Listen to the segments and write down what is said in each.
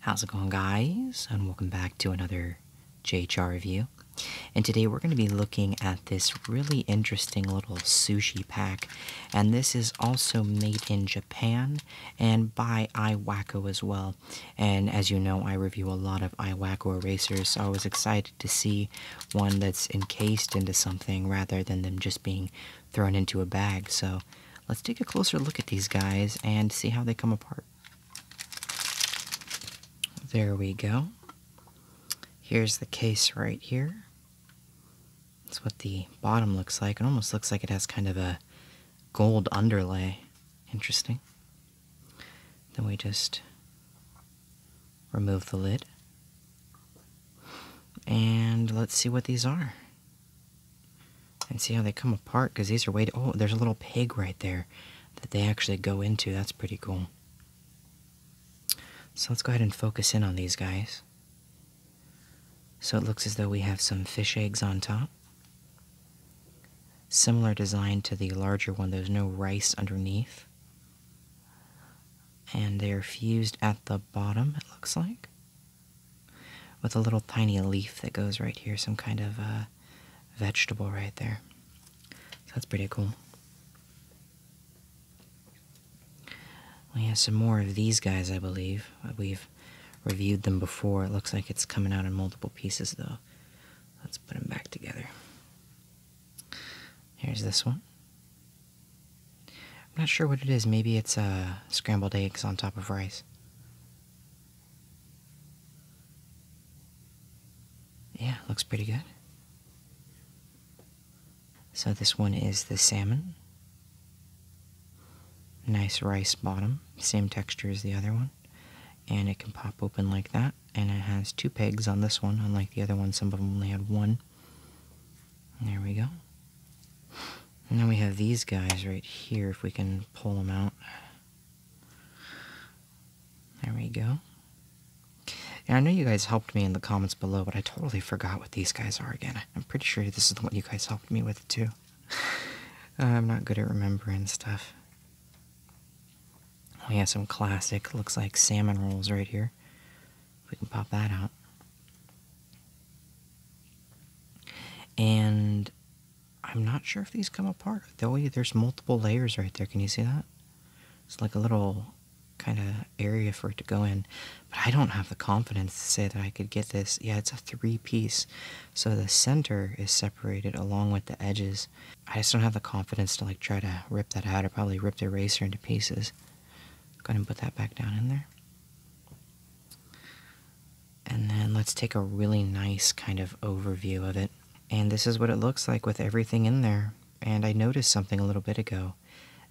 How's it going, guys? And welcome back to another JHR review. And today we're going to be looking at this really interesting little sushi pack. And this is also made in Japan and by iWacko as well. And as you know, I review a lot of iWacko erasers, so I was excited to see one that's encased into something rather than them just being thrown into a bag. So let's take a closer look at these guys and see how they come apart. There we go. Here's the case right here. That's what the bottom looks like. It almost looks like it has kind of a gold underlay. Interesting. Then we just remove the lid. And let's see what these are. And see how they come apart, because these are way... Oh, there's a little pig right there that they actually go into. That's pretty cool. So let's go ahead and focus in on these guys. So it looks as though we have some fish eggs on top. Similar design to the larger one. There's no rice underneath and they're fused at the bottom, it looks like, with a little tiny leaf that goes right here, some kind of uh, vegetable right there. So that's pretty cool. We have some more of these guys, I believe. Uh, we've reviewed them before. It looks like it's coming out in multiple pieces, though. Let's put them back together. Here's this one. I'm not sure what it is. Maybe it's uh, scrambled eggs on top of rice. Yeah, looks pretty good. So this one is the salmon. Nice rice bottom, same texture as the other one. And it can pop open like that. And it has two pegs on this one, unlike the other one. Some of them only had one. There we go. And then we have these guys right here, if we can pull them out. There we go. And I know you guys helped me in the comments below, but I totally forgot what these guys are again. I'm pretty sure this is the one you guys helped me with, too. I'm not good at remembering stuff. We have some classic, looks like salmon rolls right here. We can pop that out. And I'm not sure if these come apart. Though there's multiple layers right there. Can you see that? It's like a little kind of area for it to go in. But I don't have the confidence to say that I could get this. Yeah, it's a three piece. So the center is separated along with the edges. I just don't have the confidence to like try to rip that out. I probably ripped the eraser into pieces. Go ahead and put that back down in there. And then let's take a really nice kind of overview of it. And this is what it looks like with everything in there. And I noticed something a little bit ago.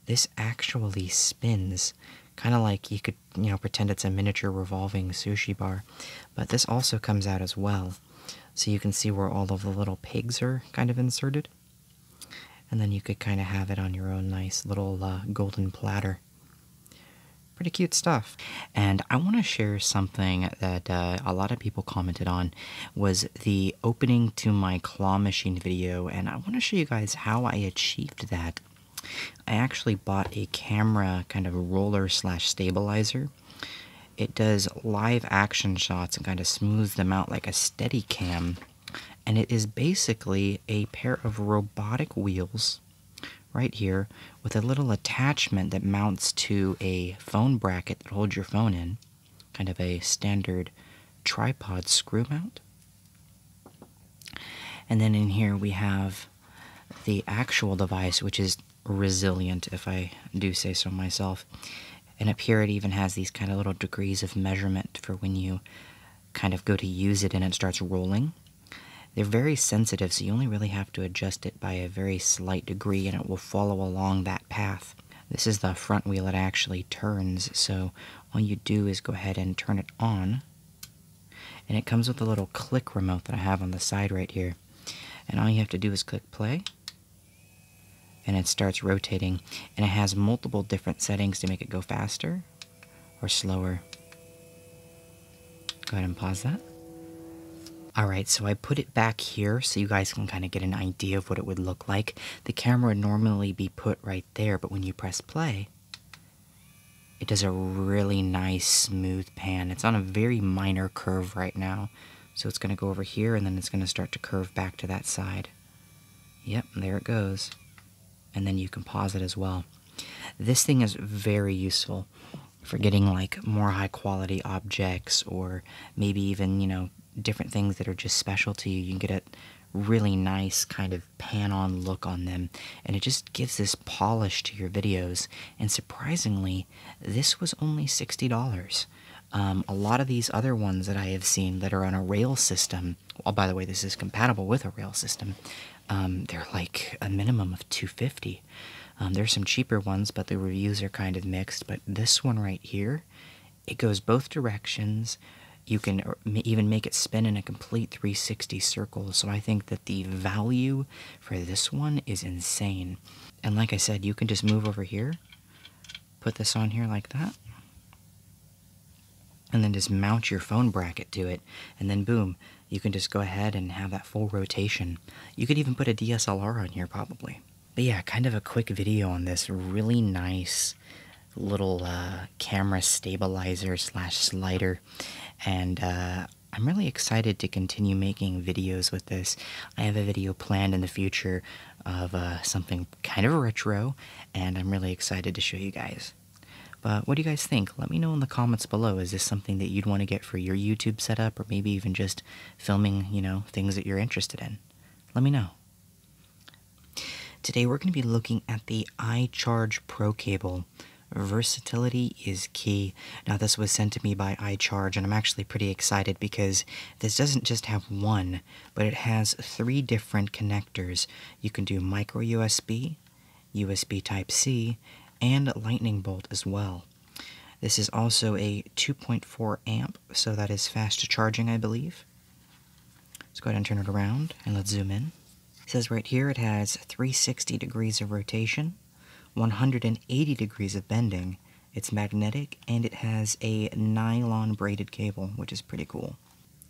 This actually spins, kind of like you could, you know, pretend it's a miniature revolving sushi bar. But this also comes out as well. So you can see where all of the little pigs are kind of inserted. And then you could kind of have it on your own nice little uh, golden platter. Pretty cute stuff. And I want to share something that uh, a lot of people commented on was the opening to my claw machine video. And I want to show you guys how I achieved that. I actually bought a camera kind of roller slash stabilizer. It does live action shots and kind of smooths them out like a steady cam. And it is basically a pair of robotic wheels right here with a little attachment that mounts to a phone bracket that holds your phone in, kind of a standard tripod screw mount. And then in here we have the actual device, which is resilient, if I do say so myself. And up here, it even has these kind of little degrees of measurement for when you kind of go to use it and it starts rolling. They're very sensitive, so you only really have to adjust it by a very slight degree and it will follow along that path. This is the front wheel it actually turns, so all you do is go ahead and turn it on. And it comes with a little click remote that I have on the side right here. And all you have to do is click play, and it starts rotating. And it has multiple different settings to make it go faster, or slower. Go ahead and pause that. All right, so I put it back here so you guys can kind of get an idea of what it would look like. The camera would normally be put right there, but when you press play, it does a really nice smooth pan. It's on a very minor curve right now. So it's gonna go over here and then it's gonna start to curve back to that side. Yep, there it goes and then you can pause it as well. This thing is very useful for getting like more high quality objects or maybe even, you know, different things that are just special to you. You can get a really nice kind of pan on look on them and it just gives this polish to your videos. And surprisingly, this was only $60. Um, a lot of these other ones that I have seen that are on a rail system um, oh, by the way, this is compatible with a rail system. Um, they're like a minimum of 250. Um, there's some cheaper ones, but the reviews are kind of mixed. But this one right here, it goes both directions. You can uh, even make it spin in a complete 360 circle. So I think that the value for this one is insane. And like I said, you can just move over here put this on here like that. And then just mount your phone bracket to it. And then boom, you can just go ahead and have that full rotation. You could even put a DSLR on here probably. But yeah, kind of a quick video on this really nice little uh, camera stabilizer slash slider. And uh, I'm really excited to continue making videos with this. I have a video planned in the future of uh, something kind of retro, and I'm really excited to show you guys. But what do you guys think? Let me know in the comments below. Is this something that you'd want to get for your YouTube setup, or maybe even just filming, you know, things that you're interested in? Let me know. Today we're going to be looking at the iCharge Pro cable. Versatility is key. Now, this was sent to me by iCharge, and I'm actually pretty excited because this doesn't just have one but it has three different connectors. You can do micro USB, USB Type C, and Lightning Bolt as well. This is also a 2.4 amp, so that is fast charging, I believe. Let's go ahead and turn it around and let's zoom in. says right here it has 360 degrees of rotation, 180 degrees of bending, it's magnetic, and it has a nylon braided cable, which is pretty cool.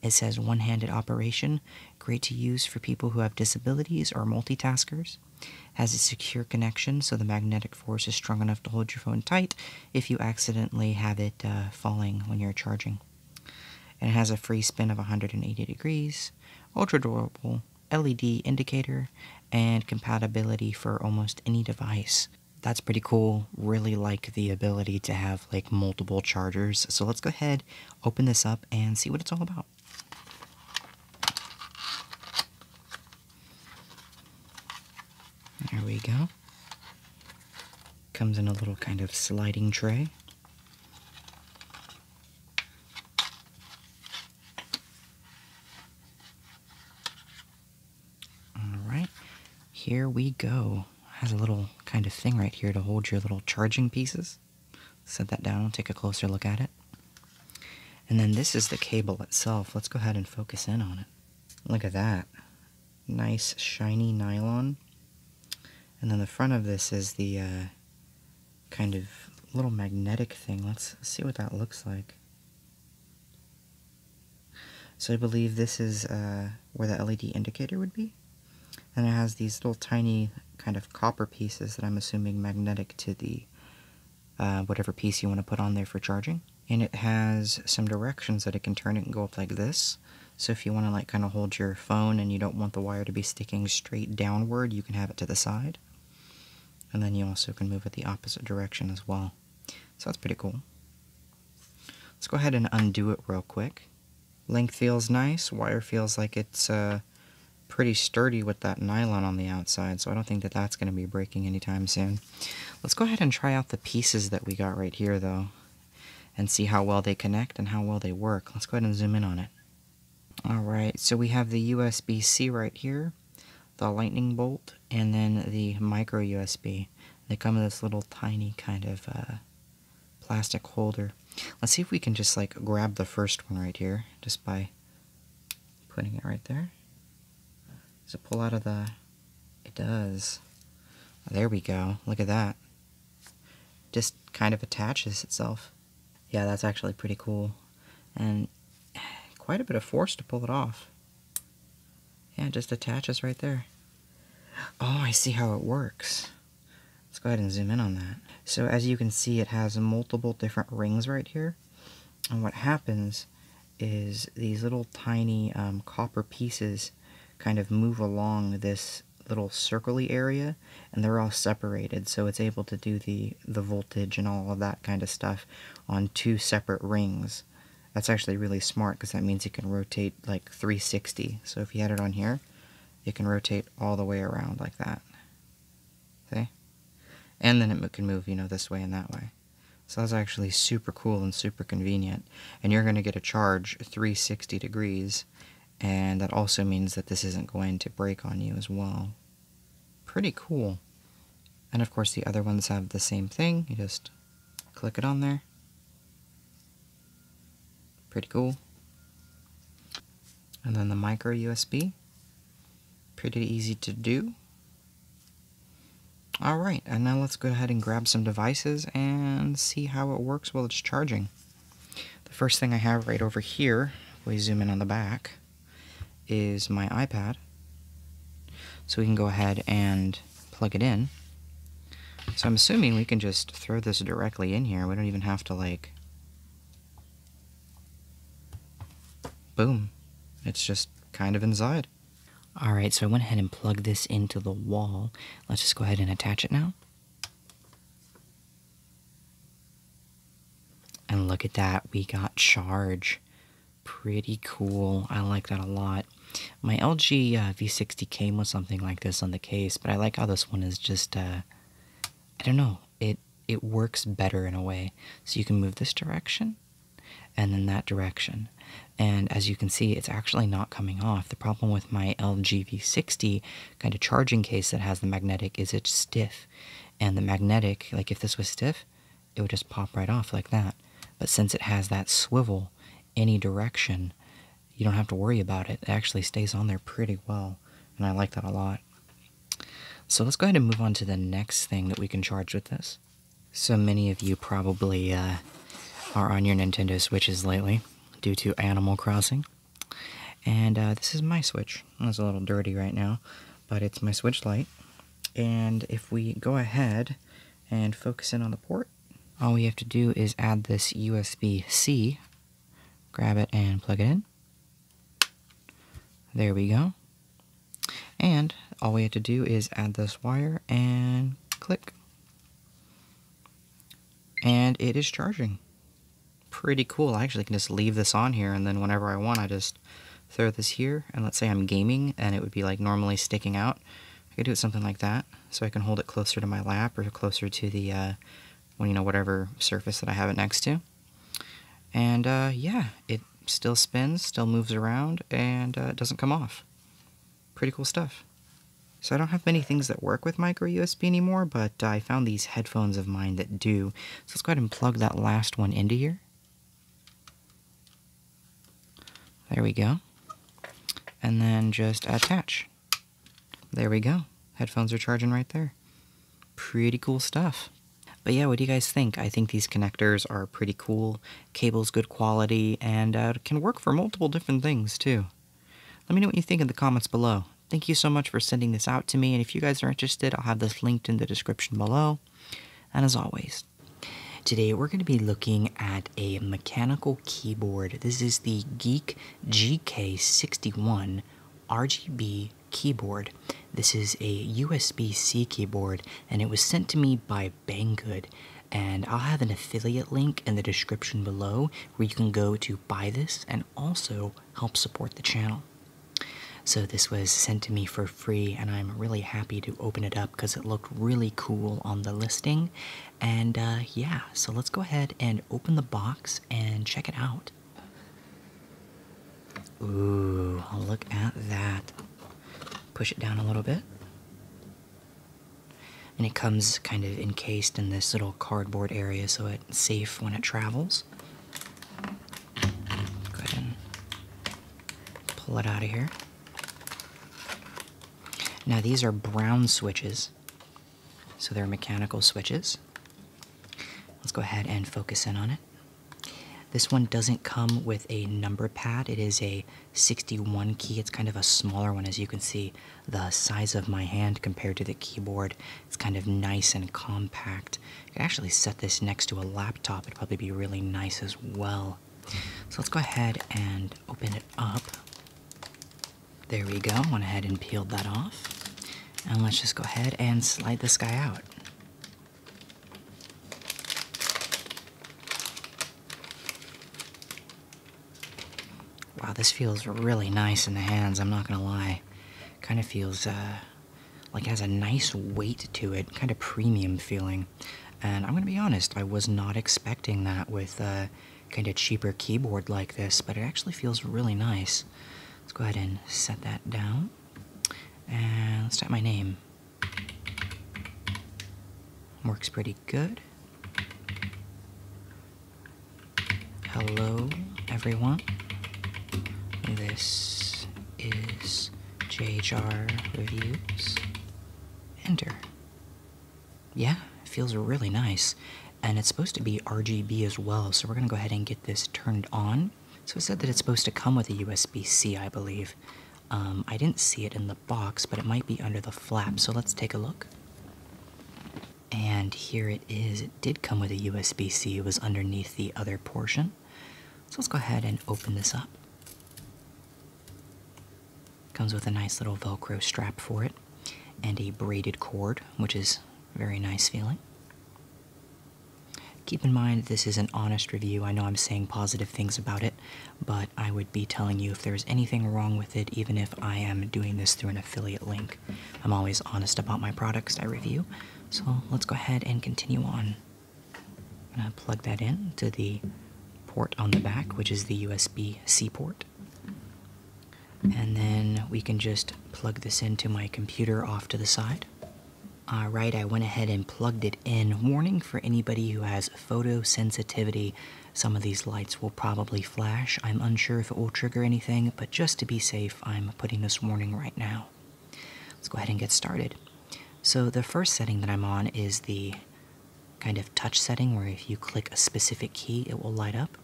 It says one handed operation, great to use for people who have disabilities or multitaskers. Has a secure connection, so the magnetic force is strong enough to hold your phone tight if you accidentally have it uh, falling when you're charging. And it has a free spin of 180 degrees, ultra durable LED indicator, and compatibility for almost any device. That's pretty cool. Really like the ability to have like multiple chargers. So let's go ahead, open this up, and see what it's all about. There we go. Comes in a little kind of sliding tray. All right, here we go has a little kind of thing right here to hold your little charging pieces. Set that down, take a closer look at it. And then this is the cable itself. Let's go ahead and focus in on it. Look at that. Nice shiny nylon. And then the front of this is the uh, kind of little magnetic thing. Let's see what that looks like. So I believe this is uh, where the LED indicator would be. And it has these little tiny kind of copper pieces that I'm assuming magnetic to the uh, whatever piece you want to put on there for charging. And it has some directions that it can turn. It can go up like this. So if you want to like kind of hold your phone and you don't want the wire to be sticking straight downward, you can have it to the side. And then you also can move it the opposite direction as well. So that's pretty cool. Let's go ahead and undo it real quick. Length feels nice. Wire feels like it's uh, pretty sturdy with that nylon on the outside, so I don't think that that's going to be breaking anytime soon. Let's go ahead and try out the pieces that we got right here, though, and see how well they connect and how well they work. Let's go ahead and zoom in on it. All right, so we have the USB-C right here, the lightning bolt, and then the micro USB. They come in this little tiny kind of uh, plastic holder. Let's see if we can just like grab the first one right here just by putting it right there. Does it pull out of the... It does. There we go. Look at that. Just kind of attaches itself. Yeah, that's actually pretty cool. And quite a bit of force to pull it off. Yeah, just attaches right there. Oh, I see how it works. Let's go ahead and zoom in on that. So as you can see, it has multiple different rings right here. And what happens is these little tiny um, copper pieces kind of move along this little circly area and they're all separated so it's able to do the the voltage and all of that kind of stuff on two separate rings that's actually really smart because that means it can rotate like 360. So if you had it on here, it can rotate all the way around like that. See? And then it can move, you know, this way and that way. So that's actually super cool and super convenient. And you're going to get a charge 360 degrees. And that also means that this isn't going to break on you as well. Pretty cool. And of course the other ones have the same thing. You just click it on there. Pretty cool. And then the micro USB. Pretty easy to do. Alright, and now let's go ahead and grab some devices and see how it works while it's charging. The first thing I have right over here, we zoom in on the back, is my iPad. So we can go ahead and plug it in. So I'm assuming we can just throw this directly in here. We don't even have to like... Boom. It's just kind of inside. All right, so I went ahead and plugged this into the wall. Let's just go ahead and attach it now. And look at that, we got charge. Pretty cool, I like that a lot. My LG uh, V60 came with something like this on the case, but I like how this one is just, uh, I don't know, it, it works better in a way. So you can move this direction and then that direction. And as you can see, it's actually not coming off. The problem with my LG V60 kind of charging case that has the magnetic is it's stiff. And the magnetic, like if this was stiff, it would just pop right off like that. But since it has that swivel, any direction, you don't have to worry about it. It actually stays on there pretty well, and I like that a lot. So let's go ahead and move on to the next thing that we can charge with this. So many of you probably uh, are on your Nintendo Switches lately due to Animal Crossing. And uh, this is my Switch. It's a little dirty right now, but it's my Switch Lite. And if we go ahead and focus in on the port, all we have to do is add this USB-C, grab it and plug it in. There we go. And all we have to do is add this wire and click. And it is charging. Pretty cool. I actually can just leave this on here and then whenever I want I just throw this here and let's say I'm gaming and it would be like normally sticking out. I could do it something like that, so I can hold it closer to my lap or closer to the, uh, you know, whatever surface that I have it next to. And uh, yeah, it still spins, still moves around, and it uh, doesn't come off. Pretty cool stuff. So I don't have many things that work with micro USB anymore, but I found these headphones of mine that do. So let's go ahead and plug that last one into here. There we go. And then just attach. There we go. Headphones are charging right there. Pretty cool stuff. But yeah, what do you guys think? I think these connectors are pretty cool. Cable's good quality and uh, can work for multiple different things too. Let me know what you think in the comments below. Thank you so much for sending this out to me. And if you guys are interested, I'll have this linked in the description below. And as always, today we're going to be looking at a mechanical keyboard. This is the Geek GK61 RGB keyboard. This is a USB-C keyboard and it was sent to me by Banggood and I'll have an affiliate link in the description below where you can go to buy this and also help support the channel. So this was sent to me for free and I'm really happy to open it up because it looked really cool on the listing and uh, yeah, so let's go ahead and open the box and check it out. Ooh, look at that. Push it down a little bit. And it comes kind of encased in this little cardboard area so it's safe when it travels. Go ahead and pull it out of here. Now, these are brown switches, so they're mechanical switches. Let's go ahead and focus in on it. This one doesn't come with a number pad, it is a 61 key. It's kind of a smaller one, as you can see, the size of my hand compared to the keyboard. It's kind of nice and compact. You could actually set this next to a laptop, it'd probably be really nice as well. So let's go ahead and open it up. There we go, went ahead and peeled that off. And let's just go ahead and slide this guy out. Wow, this feels really nice in the hands, I'm not gonna lie. Kind of feels uh, like it has a nice weight to it, kind of premium feeling. And I'm gonna be honest, I was not expecting that with uh, kind of cheaper keyboard like this, but it actually feels really nice. Let's go ahead and set that down. And let's type my name. Works pretty good. Hello, everyone. This is JHR Reviews. Enter. Yeah, feels really nice. And it's supposed to be RGB as well, so we're gonna go ahead and get this turned on. So I said that it's supposed to come with a USB-C, I believe. Um, I didn't see it in the box, but it might be under the flap, so let's take a look. And here it is. It did come with a USB-C. It was underneath the other portion. So let's go ahead and open this up. Comes with a nice little Velcro strap for it and a braided cord, which is very nice feeling. Keep in mind, this is an honest review. I know I'm saying positive things about it, but I would be telling you if there's anything wrong with it, even if I am doing this through an affiliate link. I'm always honest about my products I review. So let's go ahead and continue on. I'm gonna plug that in to the port on the back, which is the USB-C port. And then we can just plug this into my computer off to the side. All right, I went ahead and plugged it in. Warning for anybody who has photosensitivity, some of these lights will probably flash. I'm unsure if it will trigger anything, but just to be safe, I'm putting this warning right now. Let's go ahead and get started. So the first setting that I'm on is the kind of touch setting where if you click a specific key, it will light up.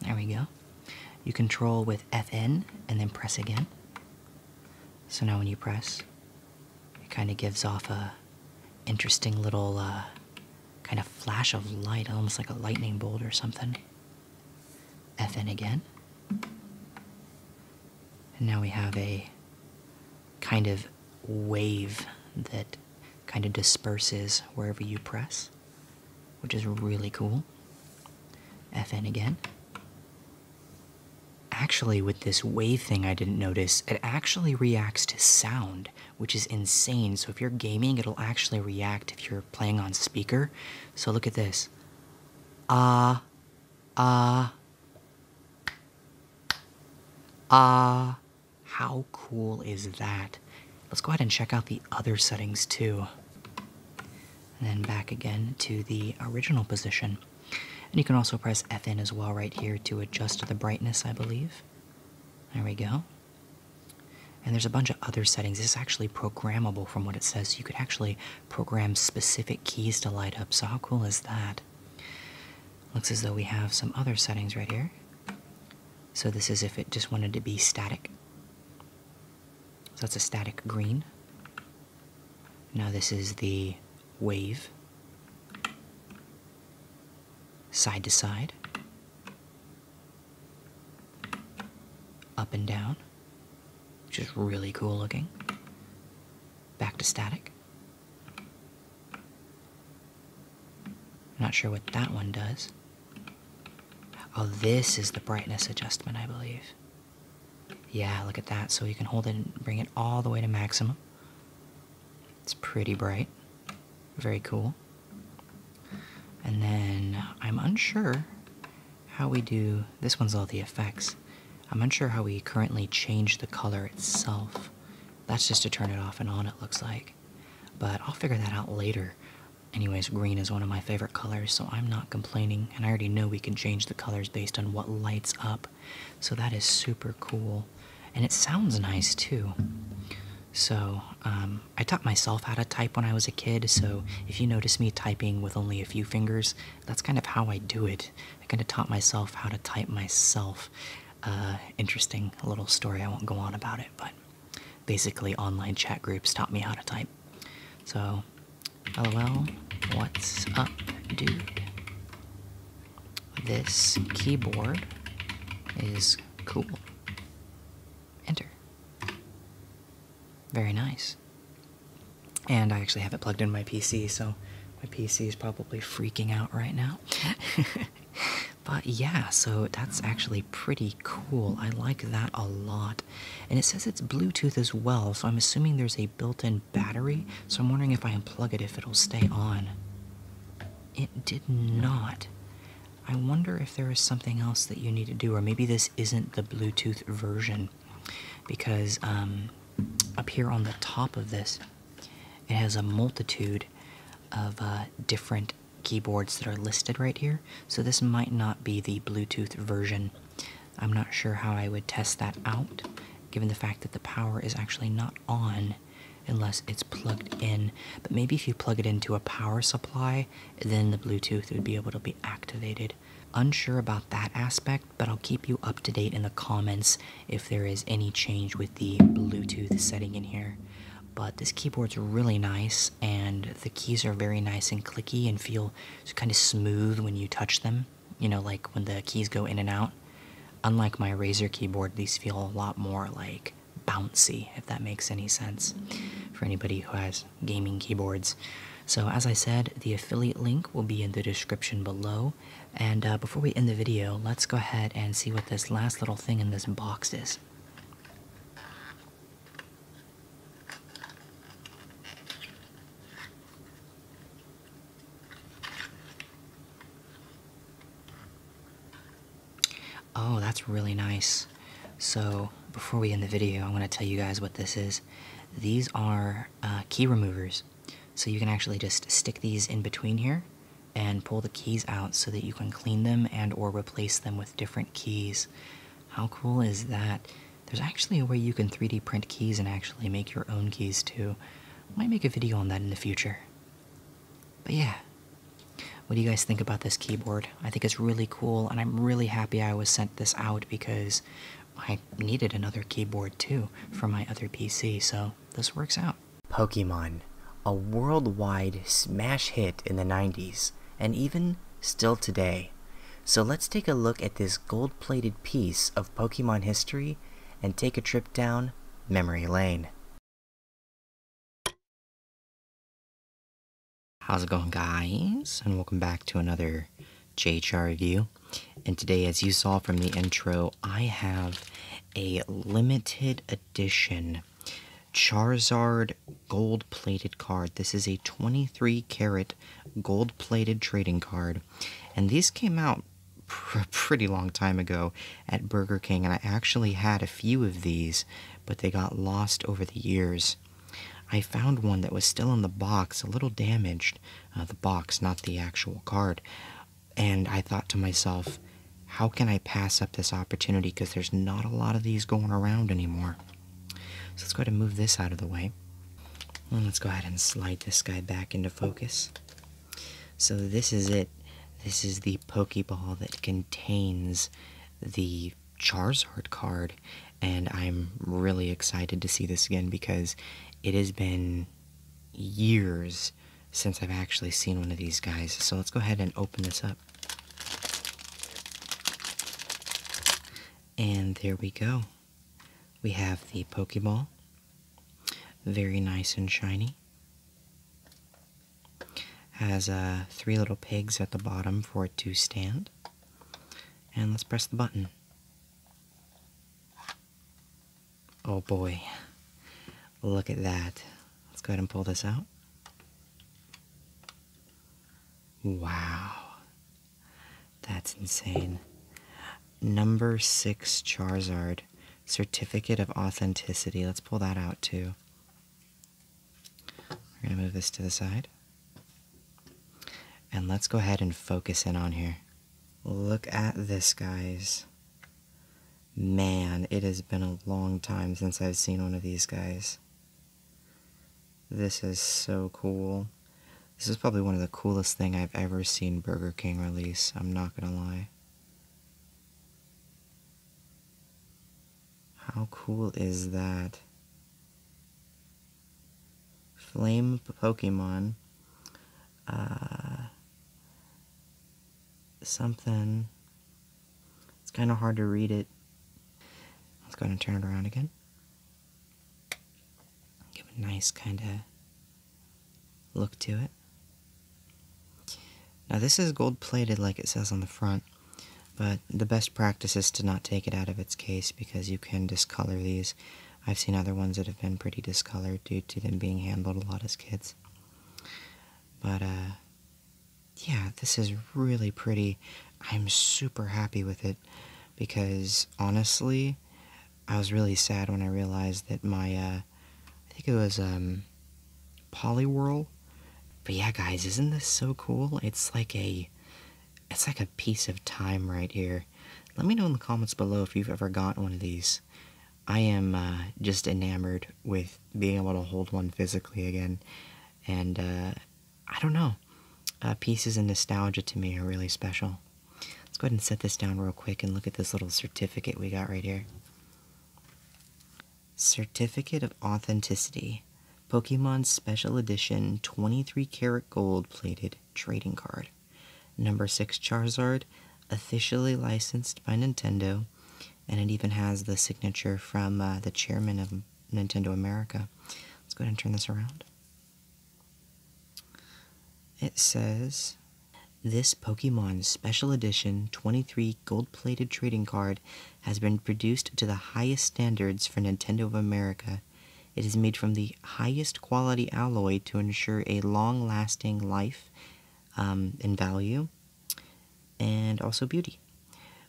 There we go. You control with Fn and then press again. So now when you press, it kind of gives off a interesting little uh, kind of flash of light, almost like a lightning bolt or something. Fn again. And now we have a kind of wave that kind of disperses wherever you press, which is really cool. Fn again. Actually, with this wave thing I didn't notice, it actually reacts to sound, which is insane. So if you're gaming, it'll actually react if you're playing on speaker. So look at this. Ah, Ah. Ah. How cool is that? Let's go ahead and check out the other settings too. And then back again to the original position. And you can also press Fn as well right here to adjust the brightness, I believe. There we go. And there's a bunch of other settings. This is actually programmable from what it says. So you could actually program specific keys to light up. So how cool is that? Looks as though we have some other settings right here. So this is if it just wanted to be static. So that's a static green. Now this is the wave. Side to side. Up and down which is really cool looking. Back to static. Not sure what that one does. Oh, this is the brightness adjustment, I believe. Yeah, look at that. So you can hold it and bring it all the way to maximum. It's pretty bright. Very cool. And then I'm unsure how we do this one's all the effects. I'm unsure how we currently change the color itself. That's just to turn it off and on, it looks like. But I'll figure that out later. Anyways, green is one of my favorite colors, so I'm not complaining, and I already know we can change the colors based on what lights up, so that is super cool. And it sounds nice too. So, um, I taught myself how to type when I was a kid, so if you notice me typing with only a few fingers, that's kind of how I do it. I kind of taught myself how to type myself. Uh, interesting little story. I won't go on about it, but basically, online chat groups taught me how to type. So, lol, what's up, dude? This keyboard is cool. Enter. Very nice. And I actually have it plugged in my PC, so my PC is probably freaking out right now. but yeah, so that's actually pretty cool. I like that a lot. And it says it's Bluetooth as well, so I'm assuming there's a built in battery. So I'm wondering if I unplug it, if it'll stay on. It did not. I wonder if there is something else that you need to do, or maybe this isn't the Bluetooth version because um, up here on the top of this, it has a multitude of uh, different keyboards that are listed right here. So this might not be the Bluetooth version. I'm not sure how I would test that out, given the fact that the power is actually not on unless it's plugged in. But maybe if you plug it into a power supply, then the Bluetooth would be able to be activated. Unsure about that aspect, but I'll keep you up to date in the comments if there is any change with the Bluetooth setting in here. But this keyboard's really nice, and the keys are very nice and clicky and feel kind of smooth when you touch them. You know, like when the keys go in and out. Unlike my Razer keyboard, these feel a lot more like bouncy, if that makes any sense for anybody who has gaming keyboards. So, as I said, the affiliate link will be in the description below. And uh, before we end the video, let's go ahead and see what this last little thing in this box is. Oh, that's really nice. So, before we end the video, I want to tell you guys what this is. These are uh, key removers. So you can actually just stick these in between here and pull the keys out so that you can clean them and or replace them with different keys. How cool is that? There's actually a way you can 3D print keys and actually make your own keys too. I might make a video on that in the future. But yeah, what do you guys think about this keyboard? I think it's really cool and I'm really happy I was sent this out because I needed another keyboard too for my other PC, so this works out. Pokemon, a worldwide smash hit in the 90s, and even still today. So let's take a look at this gold plated piece of Pokemon history and take a trip down memory lane. How's it going guys? And welcome back to another here, J Char Review. And today, as you saw from the intro, I have a limited edition Charizard gold plated card. This is a 23 karat gold plated trading card. And these came out a pretty long time ago at Burger King, and I actually had a few of these, but they got lost over the years. I found one that was still in the box, a little damaged, uh, the box, not the actual card. And I thought to myself, how can I pass up this opportunity? Because there's not a lot of these going around anymore. So let's go ahead and move this out of the way. let's go ahead and slide this guy back into focus. So this is it. This is the Pokeball that contains the Charizard card and I'm really excited to see this again because it has been years since I've actually seen one of these guys. So let's go ahead and open this up. And there we go. We have the Pokeball. Very nice and shiny. Has uh, three little pigs at the bottom for it to stand. And let's press the button. Oh boy. Look at that. Let's go ahead and pull this out. Wow. That's insane. Number six Charizard. Certificate of Authenticity. Let's pull that out too. We're going to move this to the side. And let's go ahead and focus in on here. Look at this, guys. Man, it has been a long time since I've seen one of these guys. This is so cool. This is probably one of the coolest thing I've ever seen Burger King release, I'm not gonna lie. How cool is that? Flame Pokemon. Uh, something. It's kind of hard to read it. Let's go ahead and turn it around again. Give a nice kind of look to it. Now this is gold plated like it says on the front, but the best practice is to not take it out of its case because you can discolor these I've seen other ones that have been pretty discolored due to them being handled a lot as kids. But, uh, yeah, this is really pretty. I'm super happy with it because honestly, I was really sad when I realized that my, uh, I think it was, um, Poliwhirl. But yeah, guys, isn't this so cool? It's like a it's like a piece of time right here. Let me know in the comments below if you've ever got one of these. I am uh, just enamored with being able to hold one physically again. And uh, I don't know. Uh, pieces of nostalgia to me are really special. Let's go ahead and set this down real quick and look at this little certificate we got right here. Certificate of Authenticity. Pokemon Special Edition 23 karat gold plated trading card. Number 6 Charizard, officially licensed by Nintendo, and it even has the signature from uh, the chairman of Nintendo America. Let's go ahead and turn this around. It says, This Pokemon Special Edition 23 gold plated trading card has been produced to the highest standards for Nintendo of America it is made from the highest quality alloy to ensure a long lasting life um, and value, and also beauty.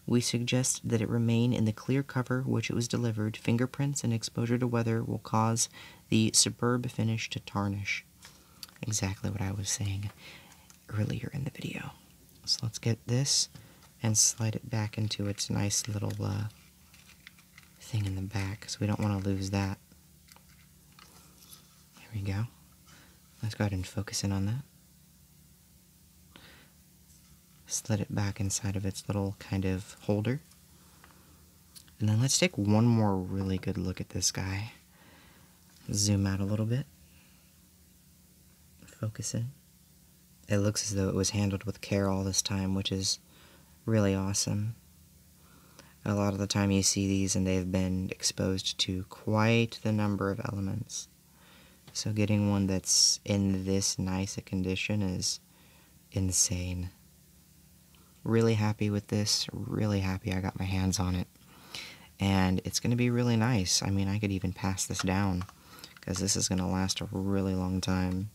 We suggest that it remain in the clear cover which it was delivered. Fingerprints and exposure to weather will cause the superb finish to tarnish. Exactly what I was saying earlier in the video. So let's get this and slide it back into its nice little uh, thing in the back, so we don't want to lose that. There we go. Let's go ahead and focus in on that. Slid it back inside of its little kind of holder. And then let's take one more really good look at this guy. Zoom out a little bit. Focus in it looks as though it was handled with care all this time, which is really awesome. A lot of the time you see these and they've been exposed to quite the number of elements. So getting one that's in this nice a condition is insane. Really happy with this, really happy I got my hands on it. And it's going to be really nice. I mean, I could even pass this down because this is going to last a really long time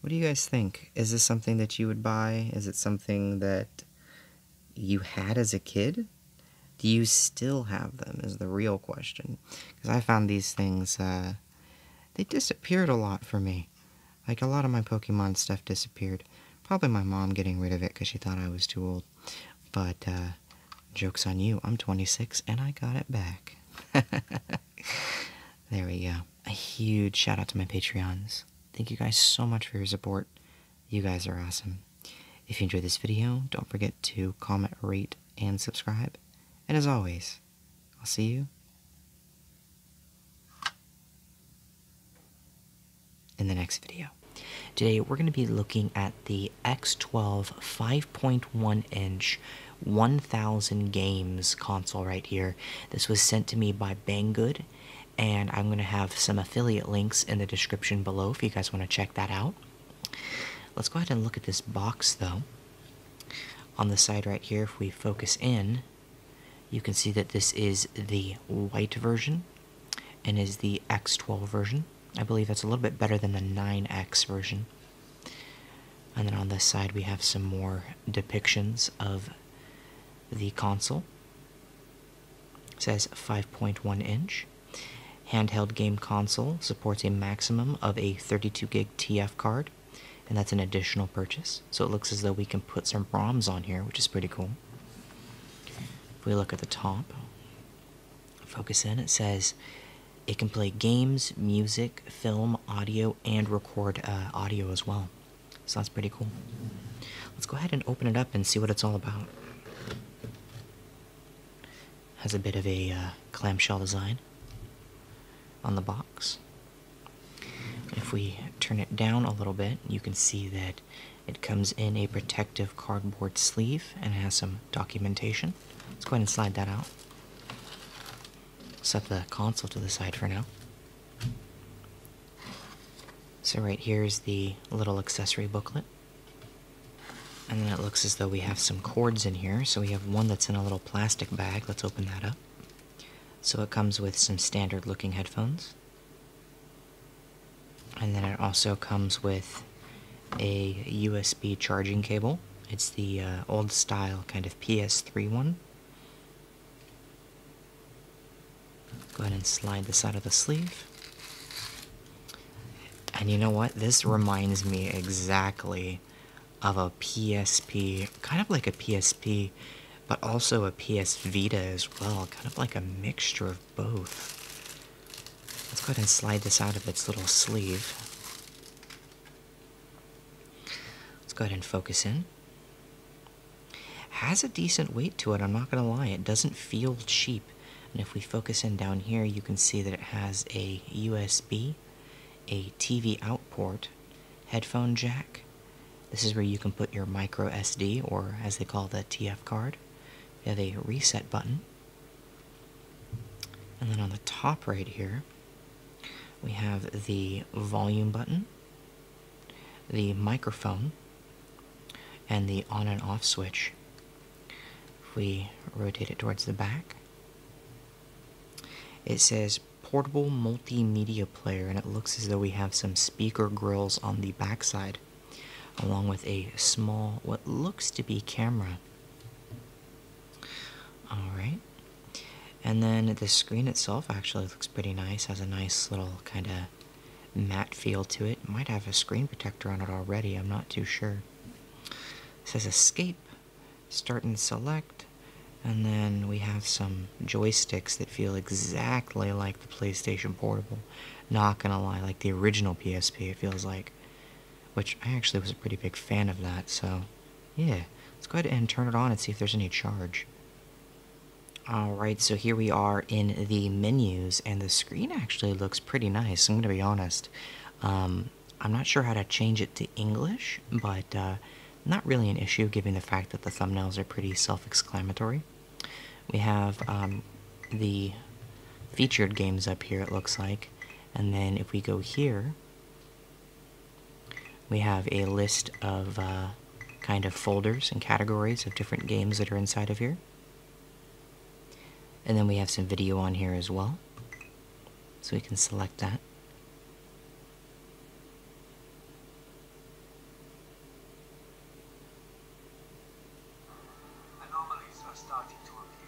what do you guys think? Is this something that you would buy? Is it something that you had as a kid? Do you still have them? Is the real question. Because I found these things, uh, they disappeared a lot for me. Like a lot of my Pokemon stuff disappeared. Probably my mom getting rid of it because she thought I was too old. But, uh, joke's on you. I'm 26 and I got it back. There we go. A huge shout out to my Patreons. Thank you guys so much for your support. You guys are awesome. If you enjoyed this video, don't forget to comment, rate, and subscribe. And as always, I'll see you in the next video. Today, we're going to be looking at the X12 5 5.1 inch 1000 games console right here. This was sent to me by Banggood, and I'm going to have some affiliate links in the description below if you guys want to check that out. Let's go ahead and look at this box though. On the side right here, if we focus in, you can see that this is the white version and is the X12 version. I believe that's a little bit better than the 9X version. And then on this side, we have some more depictions of the console. It says 5.1 inch. Handheld game console supports a maximum of a 32 gig TF card, and that's an additional purchase. So it looks as though we can put some ROMs on here, which is pretty cool. If we look at the top, focus in, it says it can play games, music, film, audio, and record uh, audio as well. So that's pretty cool. Let's go ahead and open it up and see what it's all about. Has a bit of a uh, clamshell design on the box. If we turn it down a little bit, you can see that it comes in a protective cardboard sleeve and has some documentation. Let's go ahead and slide that out set the console to the side for now. So right here is the little accessory booklet. And then it looks as though we have some cords in here. So we have one that's in a little plastic bag. Let's open that up. So it comes with some standard looking headphones. And then it also comes with a USB charging cable. It's the uh, old style kind of PS3 one. Go ahead and slide this out of the sleeve. And you know what? This reminds me exactly of a PSP, kind of like a PSP, but also a PS Vita as well, kind of like a mixture of both. Let's go ahead and slide this out of its little sleeve. Let's go ahead and focus in. Has a decent weight to it, I'm not going to lie. It doesn't feel cheap. And if we focus in down here, you can see that it has a USB, a TV out port, headphone jack. This is where you can put your micro SD, or as they call the TF card. You have a reset button. And then on the top right here, we have the volume button, the microphone, and the on and off switch. If we rotate it towards the back, it says portable multimedia player, and it looks as though we have some speaker grills on the backside, along with a small, what looks to be camera. Alright. And then the screen itself actually looks pretty nice, has a nice little kind of matte feel to it. it. Might have a screen protector on it already, I'm not too sure. It says escape, start and select, and then we have some joysticks that feel exactly like the PlayStation Portable. Not gonna lie, like the original PSP, it feels like which I actually was a pretty big fan of that, so yeah, let's go ahead and turn it on and see if there's any charge. Alright, so here we are in the menus, and the screen actually looks pretty nice, I'm going to be honest. Um, I'm not sure how to change it to English, but uh, not really an issue given the fact that the thumbnails are pretty self-exclamatory. We have um, the featured games up here, it looks like, and then if we go here, we have a list of uh, kind of folders and categories of different games that are inside of here. And then we have some video on here as well. So we can select that.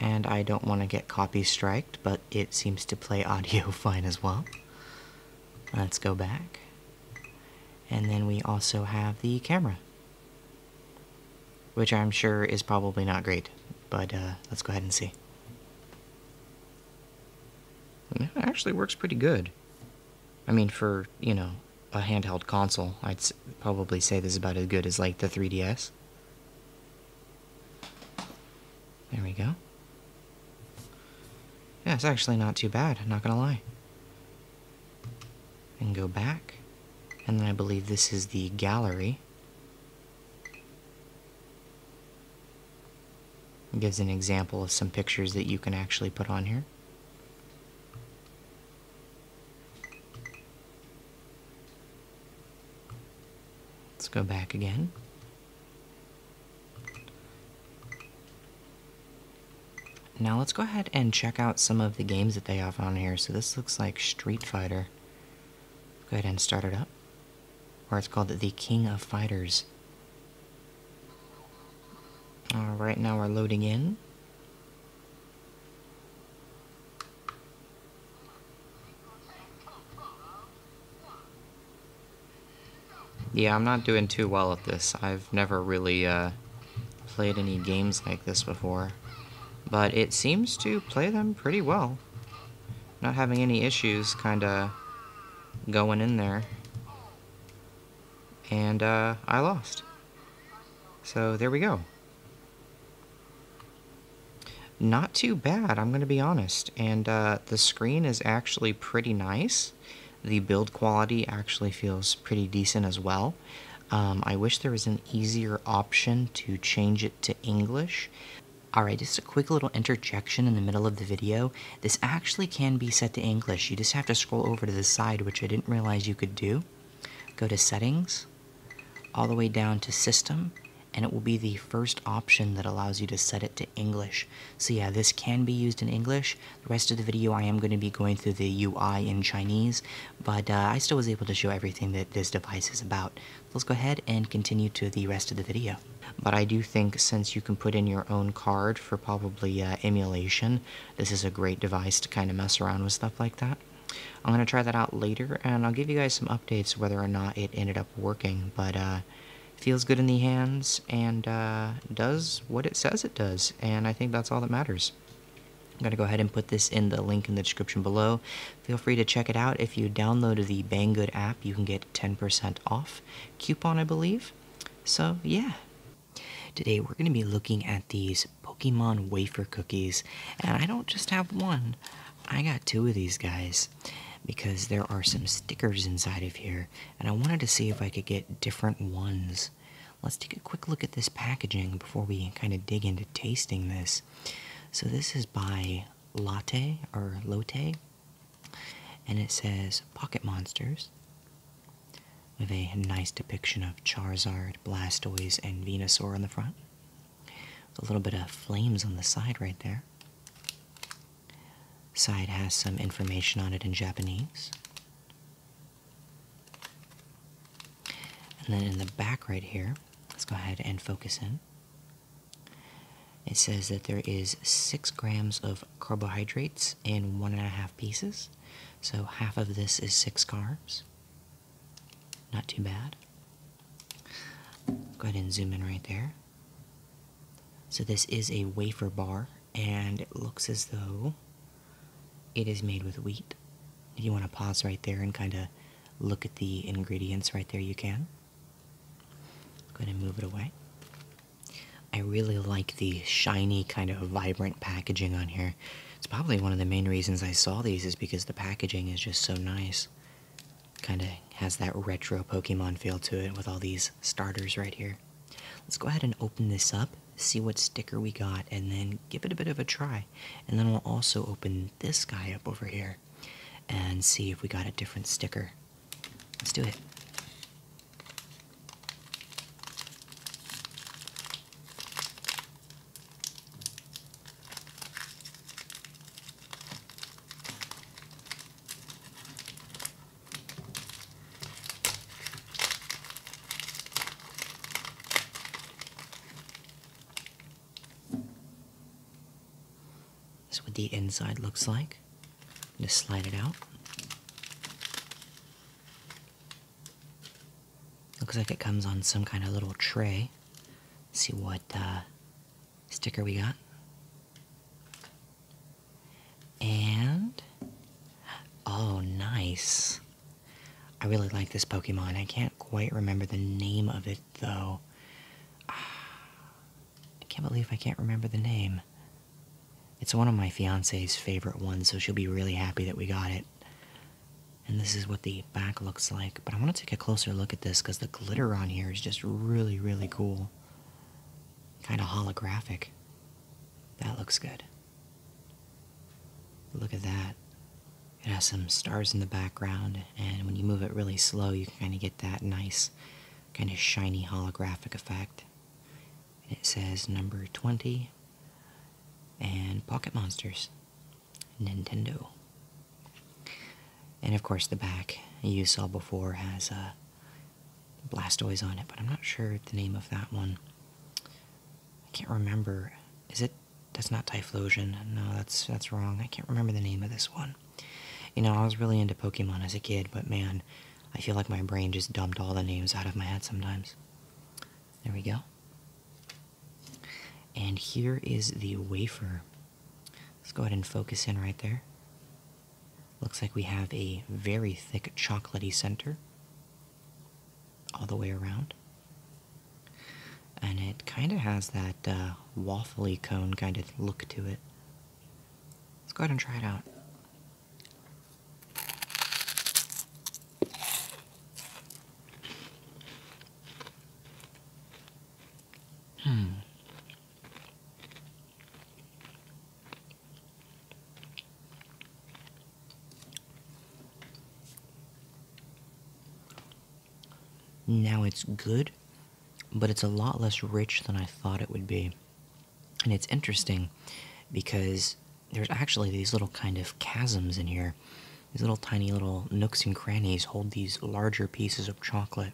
And I don't want to get copy striked, but it seems to play audio fine as well. Let's go back. And then we also have the camera, which I'm sure is probably not great, but uh, let's go ahead and see. It actually works pretty good. I mean, for, you know, a handheld console, I'd probably say this is about as good as, like, the 3DS. There we go. Yeah, it's actually not too bad, not gonna lie. And go back. And then I believe this is the gallery. gives an example of some pictures that you can actually put on here. Let's go back again. Now let's go ahead and check out some of the games that they have on here. So this looks like Street Fighter. Go ahead and start it up. Or it's called The King of Fighters. All right, now we're loading in. Yeah, I'm not doing too well at this. I've never really uh, played any games like this before. But it seems to play them pretty well. Not having any issues kind of going in there. And uh, I lost. So there we go. Not too bad, I'm going to be honest. And uh, the screen is actually pretty nice. The build quality actually feels pretty decent as well. Um, I wish there was an easier option to change it to English. Alright, just a quick little interjection in the middle of the video. This actually can be set to English. You just have to scroll over to the side, which I didn't realize you could do, go to settings, all the way down to system, and it will be the first option that allows you to set it to English. So yeah, this can be used in English. The rest of the video I am going to be going through the UI in Chinese, but uh, I still was able to show everything that this device is about. Let's go ahead and continue to the rest of the video. But I do think since you can put in your own card for probably uh, emulation, this is a great device to kind of mess around with stuff like that. I'm going to try that out later, and I'll give you guys some updates whether or not it ended up working, but uh, feels good in the hands, and uh, does what it says it does, and I think that's all that matters. I'm going to go ahead and put this in the link in the description below. Feel free to check it out. If you download the Banggood app, you can get 10% off coupon, I believe. So, yeah, Today we're going to be looking at these Pokemon wafer cookies, and I don't just have one, I got two of these guys because there are some stickers inside of here, and I wanted to see if I could get different ones. Let's take a quick look at this packaging before we kind of dig into tasting this. So this is by Latte or Lotte, and it says Pocket Monsters, we have a nice depiction of Charizard, Blastoise, and Venusaur on the front. A little bit of flames on the side right there. Side has some information on it in Japanese. And then in the back right here, let's go ahead and focus in. It says that there is six grams of carbohydrates in one and a half pieces, so half of this is six carbs. Not too bad. Go ahead and zoom in right there. So this is a wafer bar, and it looks as though it is made with wheat. If you want to pause right there and kind of look at the ingredients right there, you can. Go ahead and move it away. I really like the shiny kind of vibrant packaging on here. It's probably one of the main reasons I saw these is because the packaging is just so nice. Kind of has that retro Pokemon feel to it with all these starters right here. Let's go ahead and open this up, see what sticker we got, and then give it a bit of a try. And then we'll also open this guy up over here and see if we got a different sticker. Let's do it. This is what the inside looks like. Just slide it out. Looks like it comes on some kind of little tray. see what uh, sticker we got. And oh, nice. I really like this Pokemon. I can't quite remember the name of it though. Ah, I can't believe I can't remember the name. It's one of my fiance's favorite ones, so she'll be really happy that we got it. And this is what the back looks like, but I want to take a closer look at this because the glitter on here is just really, really cool. Kind of holographic. That looks good. Look at that. It has some stars in the background, and when you move it really slow, you can kind of get that nice, kind of shiny holographic effect. it says number 20 and Pocket Monsters, Nintendo. And of course, the back you saw before has a uh, Blastoise on it, but I'm not sure the name of that one. I can't remember. Is it? That's not Typhlosion. No, that's that's wrong. I can't remember the name of this one. You know, I was really into Pokemon as a kid, but man, I feel like my brain just dumped all the names out of my head sometimes. There we go. And here is the wafer. Let's go ahead and focus in right there. Looks like we have a very thick chocolatey center all the way around. And it kind of has that uh, waffly cone kind of look to it. Let's go ahead and try it out. Hmm. Now it's good, but it's a lot less rich than I thought it would be. And it's interesting because there's actually these little kind of chasms in here. These little tiny little nooks and crannies hold these larger pieces of chocolate.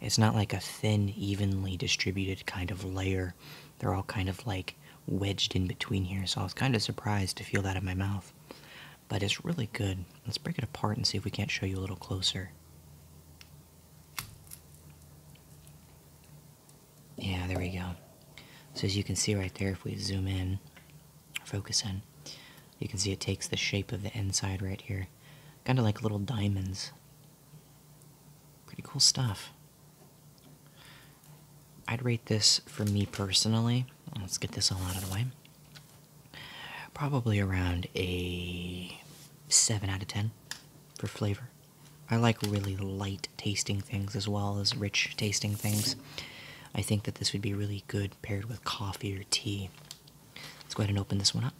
It's not like a thin, evenly distributed kind of layer. They're all kind of like wedged in between here, so I was kind of surprised to feel that in my mouth. But it's really good. Let's break it apart and see if we can't show you a little closer. Yeah, there we go. So as you can see right there, if we zoom in, focus in, you can see it takes the shape of the inside right here. Kind of like little diamonds. Pretty cool stuff. I'd rate this for me personally. Let's get this all out of the way. Probably around a 7 out of 10 for flavor. I like really light tasting things as well as rich tasting things. I think that this would be really good paired with coffee or tea. Let's go ahead and open this one up.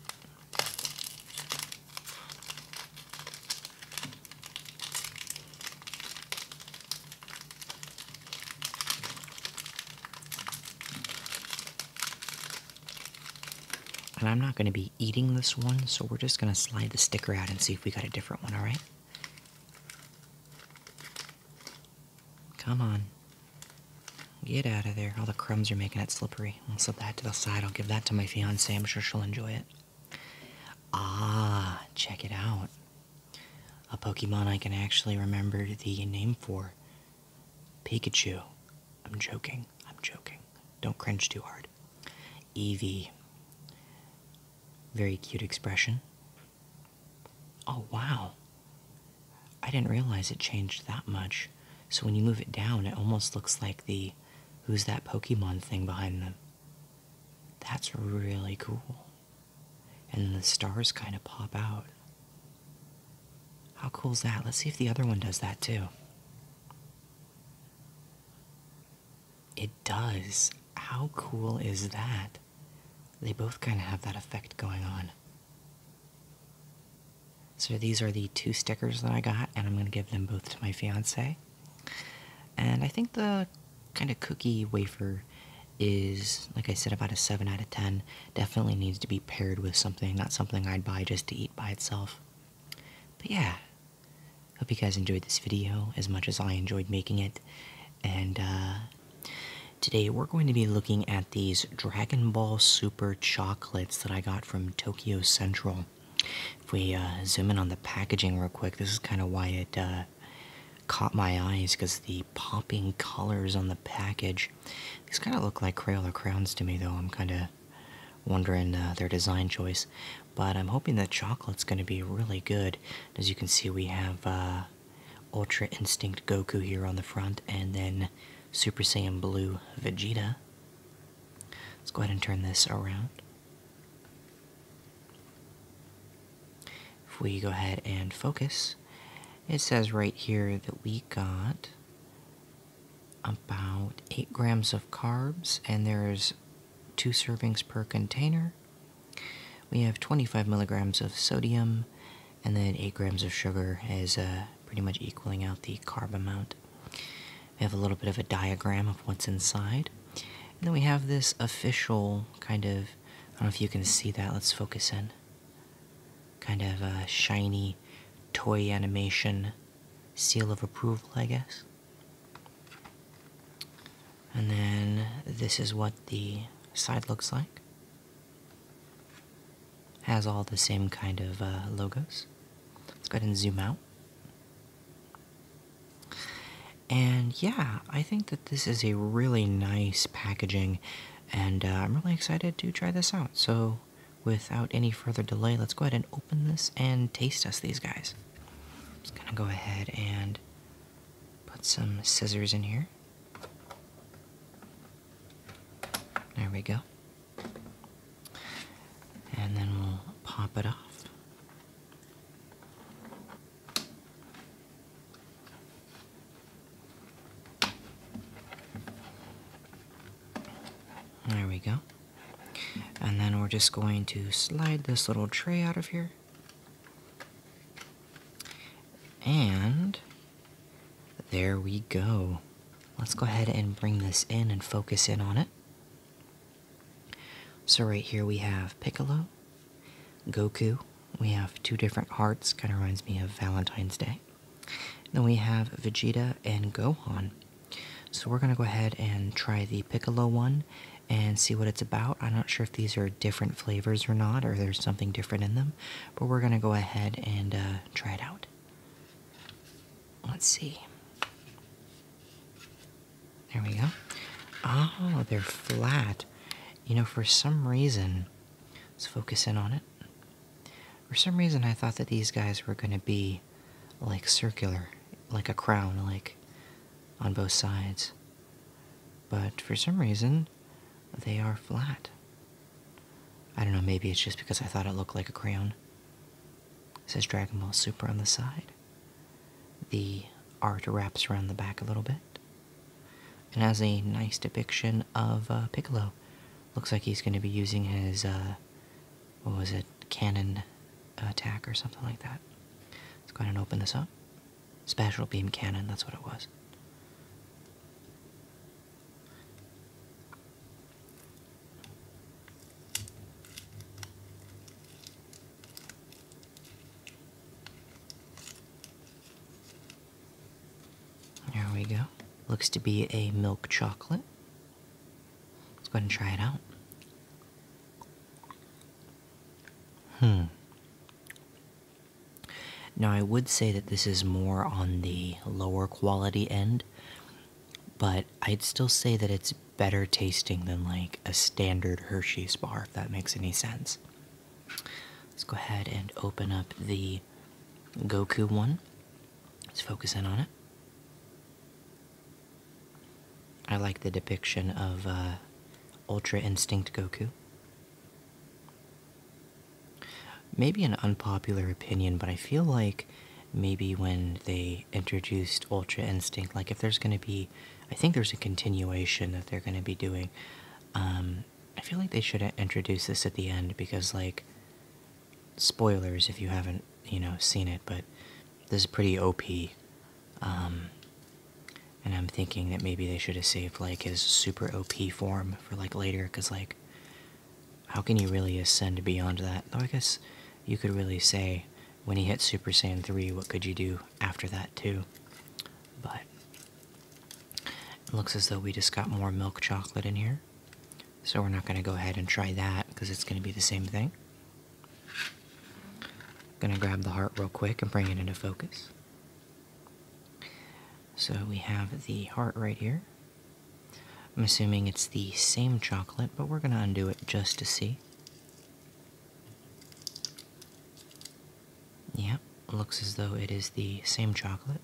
And I'm not going to be eating this one, so we're just going to slide the sticker out and see if we got a different one, alright? Come on. Get out of there. All the crumbs are making it slippery. I'll slip that to the side. I'll give that to my fiance. I'm sure she'll enjoy it. Ah, check it out. A Pokemon I can actually remember the name for Pikachu. I'm joking. I'm joking. Don't cringe too hard card. Eevee. Very cute expression. Oh, wow. I didn't realize it changed that much. So when you move it down, it almost looks like the who's that Pokemon thing behind them. That's really cool. And the stars kind of pop out. How cool is that? Let's see if the other one does that too. It does. How cool is that? They both kind of have that effect going on. So these are the two stickers that I got, and I'm going to give them both to my fiance. And I think the kind of cookie wafer is, like I said, about a 7 out of 10. Definitely needs to be paired with something, not something I'd buy just to eat by itself. But yeah, Hope you guys enjoyed this video as much as I enjoyed making it. And uh, today we're going to be looking at these Dragon Ball Super chocolates that I got from Tokyo Central. If we uh, zoom in on the packaging real quick, this is kind of why it uh, caught my eyes because the popping colors on the package. These kind of look like Crayola crowns to me, though. I'm kind of wondering their design choice. But I'm hoping that chocolate's going to be really good. As you can see, we have uh, Ultra Instinct Goku here on the front, and then Super Saiyan Blue Vegeta. Let's go ahead and turn this around. If we go ahead and focus, it says right here that we got about 8 grams of carbs, and there's two servings per container. We have 25 milligrams of sodium and then 8 grams of sugar is uh, pretty much equaling out the carb amount. We have a little bit of a diagram of what's inside. And then we have this official kind of, I don't know if you can see that, let's focus in. Kind of a uh, shiny toy animation seal of approval, I guess. And then this is what the side looks like. Has all the same kind of uh, logos. Let's go ahead and zoom out. And yeah, I think that this is a really nice packaging, and uh, I'm really excited to try this out. So, without any further delay, let's go ahead and open this and taste us these guys. I'm just gonna go ahead and put some scissors in here. There we go. And then we'll pop it off. There we go. And then we're just going to slide this little tray out of here. And there we go. Let's go ahead and bring this in and focus in on it. So right here we have Piccolo, Goku. We have two different hearts, kind of reminds me of Valentine's Day. Then we have Vegeta and Gohan. So we're going to go ahead and try the Piccolo one and see what it's about. I'm not sure if these are different flavors or not, or there's something different in them, but we're going to go ahead and uh, try it out. Let's see. There we go. Oh, they're flat. You know, for some reason, let's focus in on it. For some reason, I thought that these guys were going to be like circular, like a crown, like on both sides. But for some reason, they are flat. I don't know, maybe it's just because I thought it looked like a crown. says Dragon Ball Super on the side. The art wraps around the back a little bit. And has a nice depiction of uh, Piccolo. Looks like he's going to be using his uh, what was it, cannon attack or something like that. Let's go ahead and open this up. Special beam cannon, that's what it was. There we go. Looks to be a milk chocolate. Let's go ahead and try it out. Hmm. Now, I would say that this is more on the lower quality end, but I'd still say that it's better tasting than like a standard Hershey's bar, if that makes any sense. Let's go ahead and open up the Goku one. Let's focus in on it. I like the depiction of uh, Ultra Instinct Goku. Maybe an unpopular opinion, but I feel like maybe when they introduced Ultra Instinct, like if there's going to be, I think there's a continuation that they're going to be doing. Um, I feel like they should introduce this at the end because, like, spoilers if you haven't, you know, seen it, but this is pretty OP. Um, and I'm thinking that maybe they should have saved like his super OP form for like later, because like, how can you really ascend beyond that? Though I guess you could really say when he hit Super Saiyan 3, what could you do after that too? But it looks as though we just got more milk chocolate in here. So we're not going to go ahead and try that because it's going to be the same thing. Gonna grab the heart real quick and bring it into focus. So we have the heart right here. I'm assuming it's the same chocolate, but we're gonna undo it just to see. Yep, looks as though it is the same chocolate.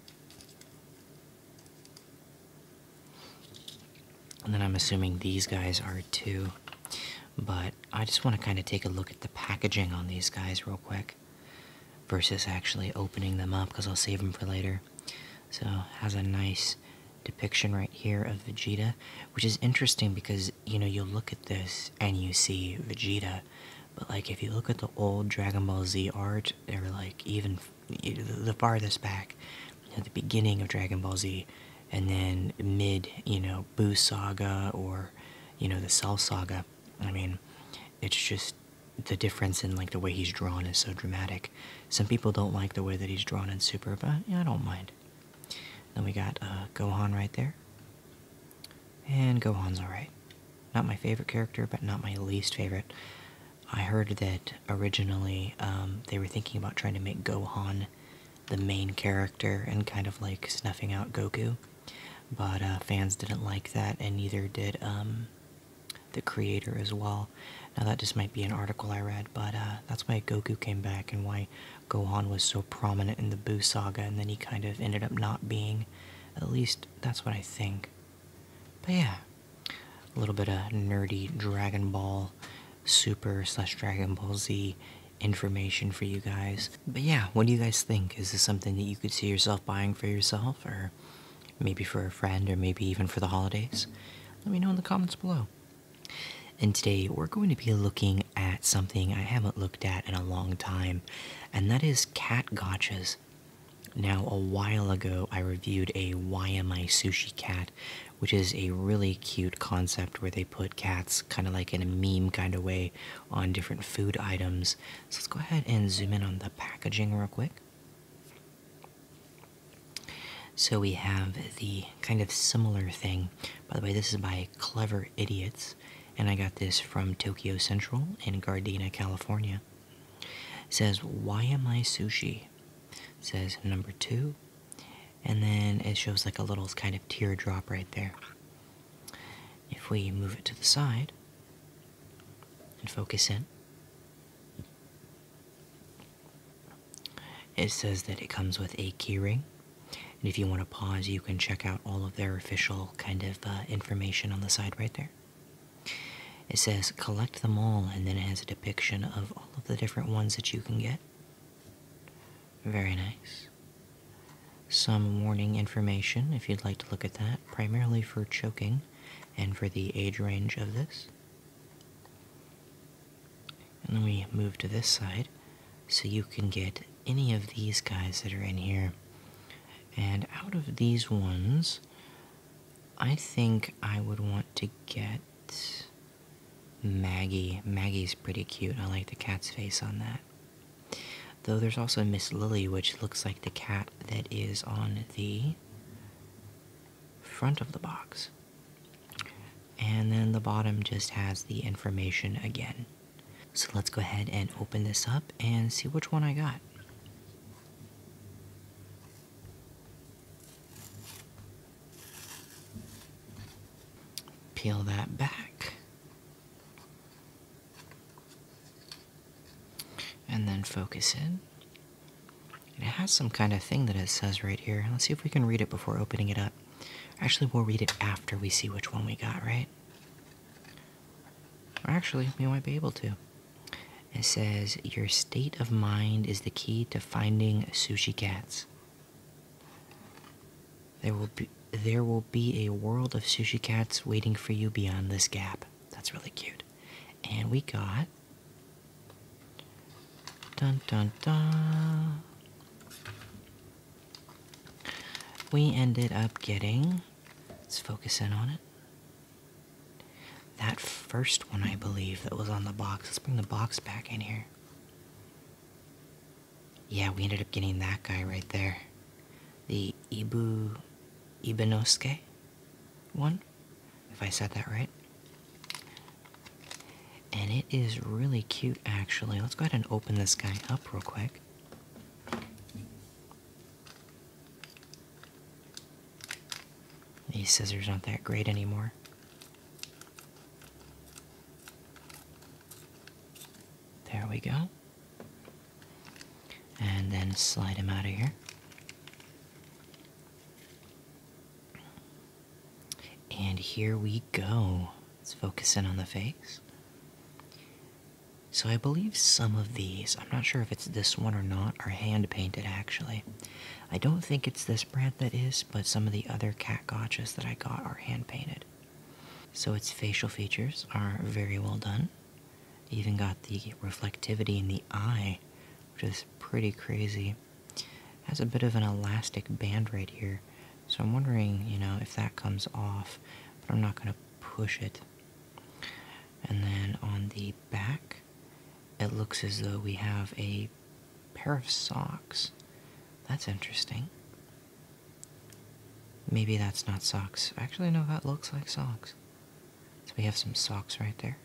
And then I'm assuming these guys are too but I just want to kind of take a look at the packaging on these guys real quick versus actually opening them up because I'll save them for later. So has a nice depiction right here of Vegeta, which is interesting because you know you will look at this and you see Vegeta, but like if you look at the old Dragon Ball Z art, they're like even the farthest back, you the beginning of Dragon Ball Z, and then mid, you know, Boo Saga or, you know, the Cell Saga. I mean, it's just the difference in like the way he's drawn is so dramatic. Some people don't like the way that he's drawn in Super, but I don't mind. Then we got uh, Gohan right there. And Gohan's alright. Not my favorite character, but not my least favorite. I heard that originally um, they were thinking about trying to make Gohan the main character and kind of like snuffing out Goku. But uh, fans didn't like that, and neither did um, the creator as well. Now, that just might be an article I read, but uh, that's why Goku came back and why Gohan was so prominent in the Boo saga, and then he kind of ended up not being. At least that's what I think. But yeah, a little bit of nerdy Dragon Ball Super slash Dragon Ball Z information for you guys. But yeah, what do you guys think? Is this something that you could see yourself buying for yourself, or maybe for a friend, or maybe even for the holidays? Let me know in the comments below. And today we're going to be looking at something I haven't looked at in a long time, and that is cat gotchas. Now, a while ago, I reviewed a Why Am I Sushi Cat which is a really cute concept where they put cats kind of like in a meme kind of way on different food items. So let's go ahead and zoom in on the packaging real quick. So we have the kind of similar thing. By the way, this is by Clever Idiots, and I got this from Tokyo Central in Gardena, California. says, Why am I sushi? says, Number two, and then it shows like a little kind of teardrop right there. If we move it to the side and focus in, it says that it comes with a keyring. And if you want to pause, you can check out all of their official kind of uh, information on the side right there. It says collect them all, and then it has a depiction of all of the different ones that you can get. Very nice. Some warning information if you'd like to look at that, primarily for choking and for the age range of this. And then we move to this side so you can get any of these guys that are in here. And out of these ones, I think I would want to get Maggie. Maggie's pretty cute. I like the cat's face on that. Though there's also Miss Lily, which looks like the cat that is on the front of the box. And then the bottom just has the information again. So let's go ahead and open this up and see which one I got. Peel that back. And then focus in. It has some kind of thing that it says right here. Let's see if we can read it before opening it up. Actually, we'll read it after we see which one we got, right? Or actually, we might be able to. It says, Your state of mind is the key to finding sushi cats. There will be there will be a world of sushi cats waiting for you beyond this gap. That's really cute. And we got dun dun dun. We ended up getting. Let's focus in on it. That first one, I believe, that was on the box. Let's bring the box back in here. Yeah, we ended up getting that guy right there. The Ibu Ibanoske, one, if I said that right. And it is really cute, actually. Let's go ahead and open this guy up real quick. These scissors aren't that great anymore. There we go. And then slide him out of here. And here we go. Let's focus in on the face. So I believe some of these, I'm not sure if it's this one or not, are hand painted actually. I don't think it's this brand that is, but some of the other cat gotchas that I got are hand painted. So its facial features are very well done. Even got the reflectivity in the eye, which is pretty crazy. Has a bit of an elastic band right here, so I'm wondering, you know, if that comes off, but I'm not going to push it. And then on the back, it looks as though we have a pair of socks. That's interesting. Maybe that's not socks. Actually, no, that looks like socks. So we have some socks right there.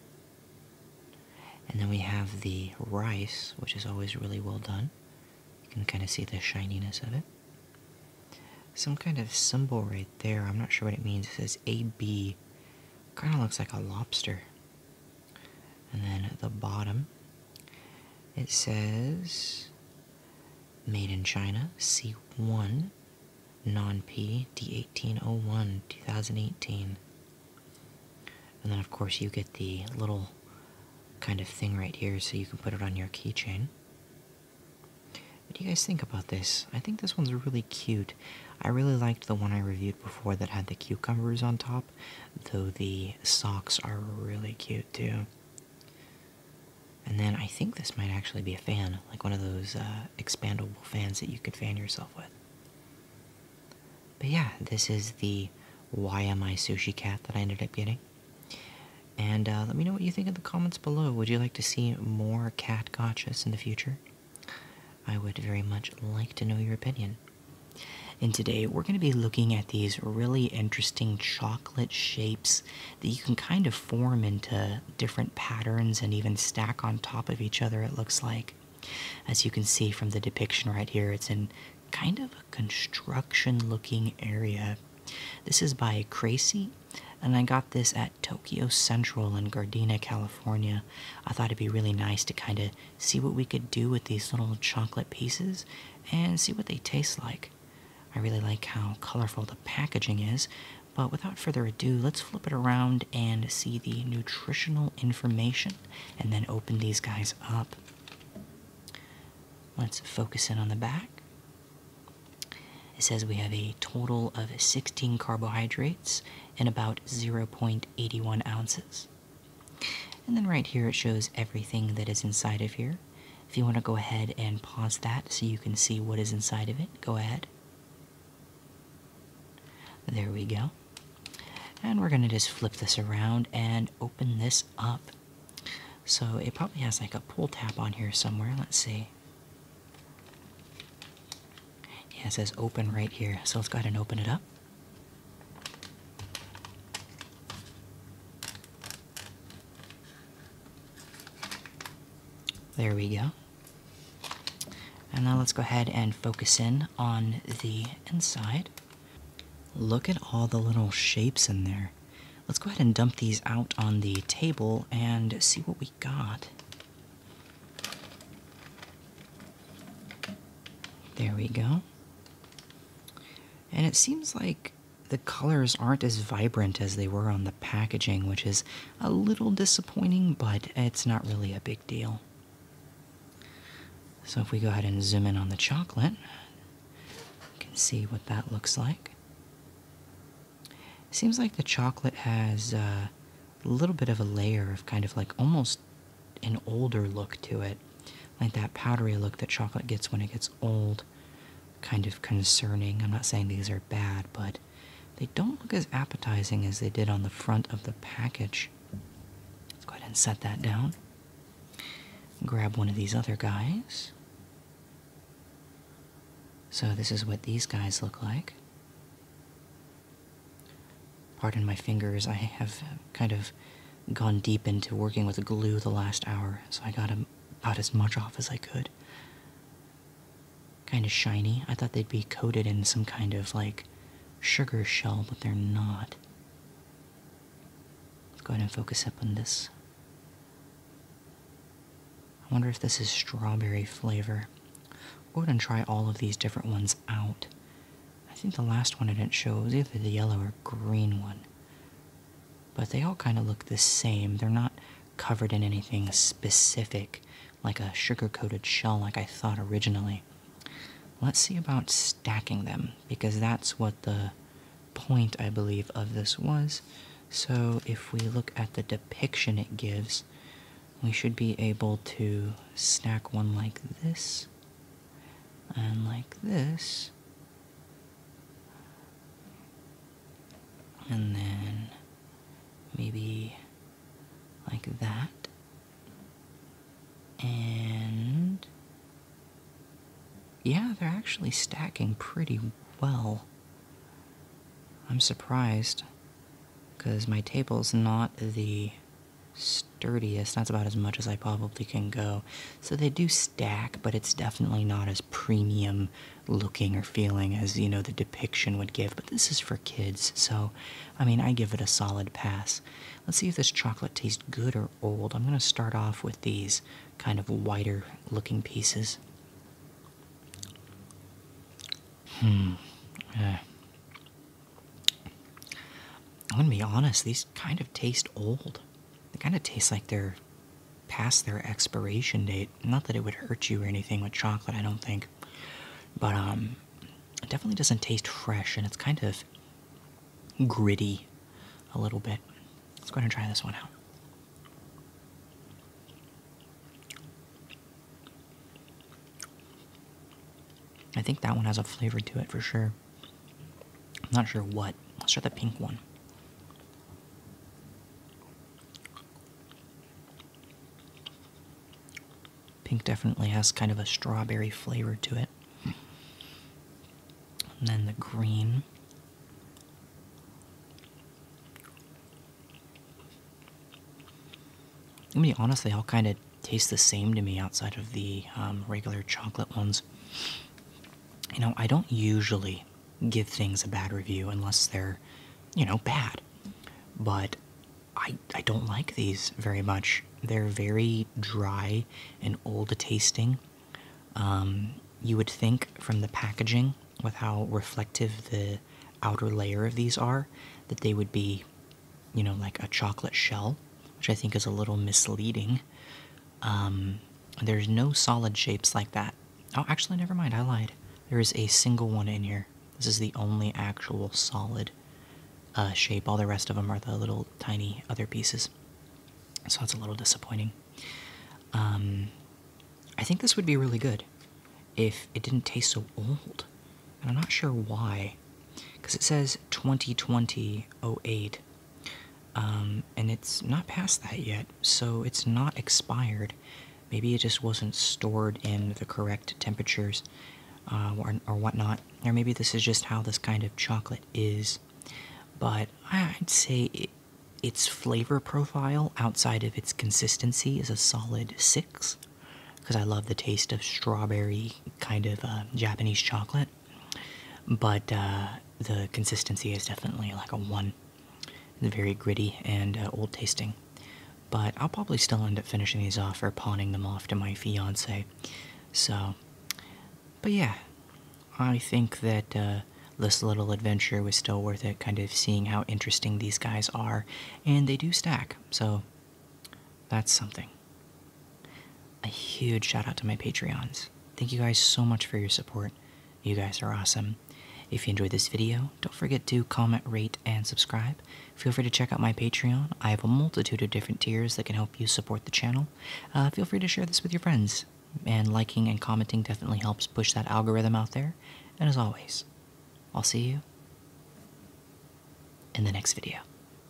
And then we have the rice, which is always really well done. You can kind of see the shininess of it. Some kind of symbol right there. I'm not sure what it means. It says AB. Kind of looks like a lobster. And then at the bottom, it says Made in China C1 Non P D1801 2018. And then, of course, you get the little kind of thing right here so you can put it on your keychain. What do you guys think about this? I think this one's really cute. I really liked the one I reviewed before that had the cucumbers on top though the socks are really cute too. And then I think this might actually be a fan, like one of those uh, expandable fans that you could fan yourself with. But yeah, this is the Why Am I Sushi Cat that I ended up getting. And uh, let me know what you think in the comments below. Would you like to see more cat gotchas in the future? I would very much like to know your opinion. And today we're going to be looking at these really interesting chocolate shapes that you can kind of form into different patterns and even stack on top of each other, it looks like. As you can see from the depiction right here, it's in kind of a construction looking area. This is by Crazy, and I got this at Tokyo Central in Gardena, California. I thought it'd be really nice to kind of see what we could do with these little chocolate pieces and see what they taste like. I really like how colorful the packaging is, but without further ado, let's flip it around and see the nutritional information and then open these guys up. Let's focus in on the back. It says we have a total of 16 carbohydrates and about 0.81 ounces. And then right here it shows everything that is inside of here. If you want to go ahead and pause that so you can see what is inside of it, go ahead. There we go. And we're going to just flip this around and open this up. So it probably has like a pull tab on here somewhere. Let's see. it says open right here. So let's go ahead and open it up. There we go. And now let's go ahead and focus in on the inside. Look at all the little shapes in there. Let's go ahead and dump these out on the table and see what we got. There we go. And it seems like the colors aren't as vibrant as they were on the packaging, which is a little disappointing, but it's not really a big deal. So, if we go ahead and zoom in on the chocolate, you can see what that looks like. Seems like the chocolate has uh, a little bit of a layer of kind of like almost an older look to it, like that powdery look that chocolate gets when it gets old. Kind of concerning. I'm not saying these are bad, but they don't look as appetizing as they did on the front of the package. Let's go ahead and set that down. Grab one of these other guys. So, this is what these guys look like. Pardon my fingers, I have kind of gone deep into working with glue the last hour, so I got about as much off as I could. Kind of shiny. I thought they'd be coated in some kind of like sugar shell, but they're not. Let's go ahead and focus up on this. I wonder if this is strawberry flavor. Go ahead and try all of these different ones out. I think the last one I didn't show was either the yellow or green one. But they all kind of look the same. They're not covered in anything specific, like a sugar coated shell, like I thought originally. Let's see about stacking them, because that's what the point, I believe, of this was. So if we look at the depiction it gives, we should be able to stack one like this and like this. And then maybe like that. And yeah, they're actually stacking pretty well. I'm surprised because my table's not the sturdiest. That's about as much as I probably can go. So they do stack, but it's definitely not as premium looking or feeling as, you know, the depiction would give. But this is for kids, so I mean, I give it a solid pass. Let's see if this chocolate tastes good or old. I'm going to start off with these kind of whiter looking pieces. Hmm. Uh, I'm gonna be honest, these kind of taste old. They kind of taste like they're past their expiration date. Not that it would hurt you or anything with chocolate, I don't think. But um it definitely doesn't taste fresh and it's kind of gritty a little bit. Let's go ahead and try this one out. I think that one has a flavor to it for sure. I'm not sure what. Let's try the pink one. Pink definitely has kind of a strawberry flavor to it. And then the green. I mean, honestly, I'll kind of taste the same to me outside of the um, regular chocolate ones. You know, I don't usually give things a bad review unless they're, you know, bad. But I, I don't like these very much. They're very dry and old tasting. Um, you would think from the packaging, with how reflective the outer layer of these are, that they would be you know, like a chocolate shell, which I think is a little misleading. Um, there's no solid shapes like that. Oh, actually, never mind. I lied. There is a single one in here. This is the only actual solid uh, shape. All the rest of them are the little tiny other pieces. So it's a little disappointing. Um, I think this would be really good if it didn't taste so old. And I'm not sure why because it says 2020 08, um, and it's not past that yet, so it's not expired. Maybe it just wasn't stored in the correct temperatures uh, or, whatnot, or maybe this is just how this kind of chocolate is. But I'd say its flavor profile outside of its consistency is a solid six because I love the taste of strawberry kind of uh, Japanese chocolate. But uh, the consistency is definitely like a one. It's very gritty and uh, old tasting. But I'll probably still end up finishing these off or pawning them off to my fiance. So, but yeah, I think that uh, this little adventure was still worth it, kind of seeing how interesting these guys are. And they do stack, so that's something. A huge shout out to my Patreons. Thank you guys so much for your support. You guys are awesome. If you enjoyed this video, don't forget to comment, rate, and subscribe. Feel free to check out my Patreon. I have a multitude of different tiers that can help you support the channel. Uh, feel free to share this with your friends. And liking and commenting definitely helps push that algorithm out there. And as always, I'll see you in the next video.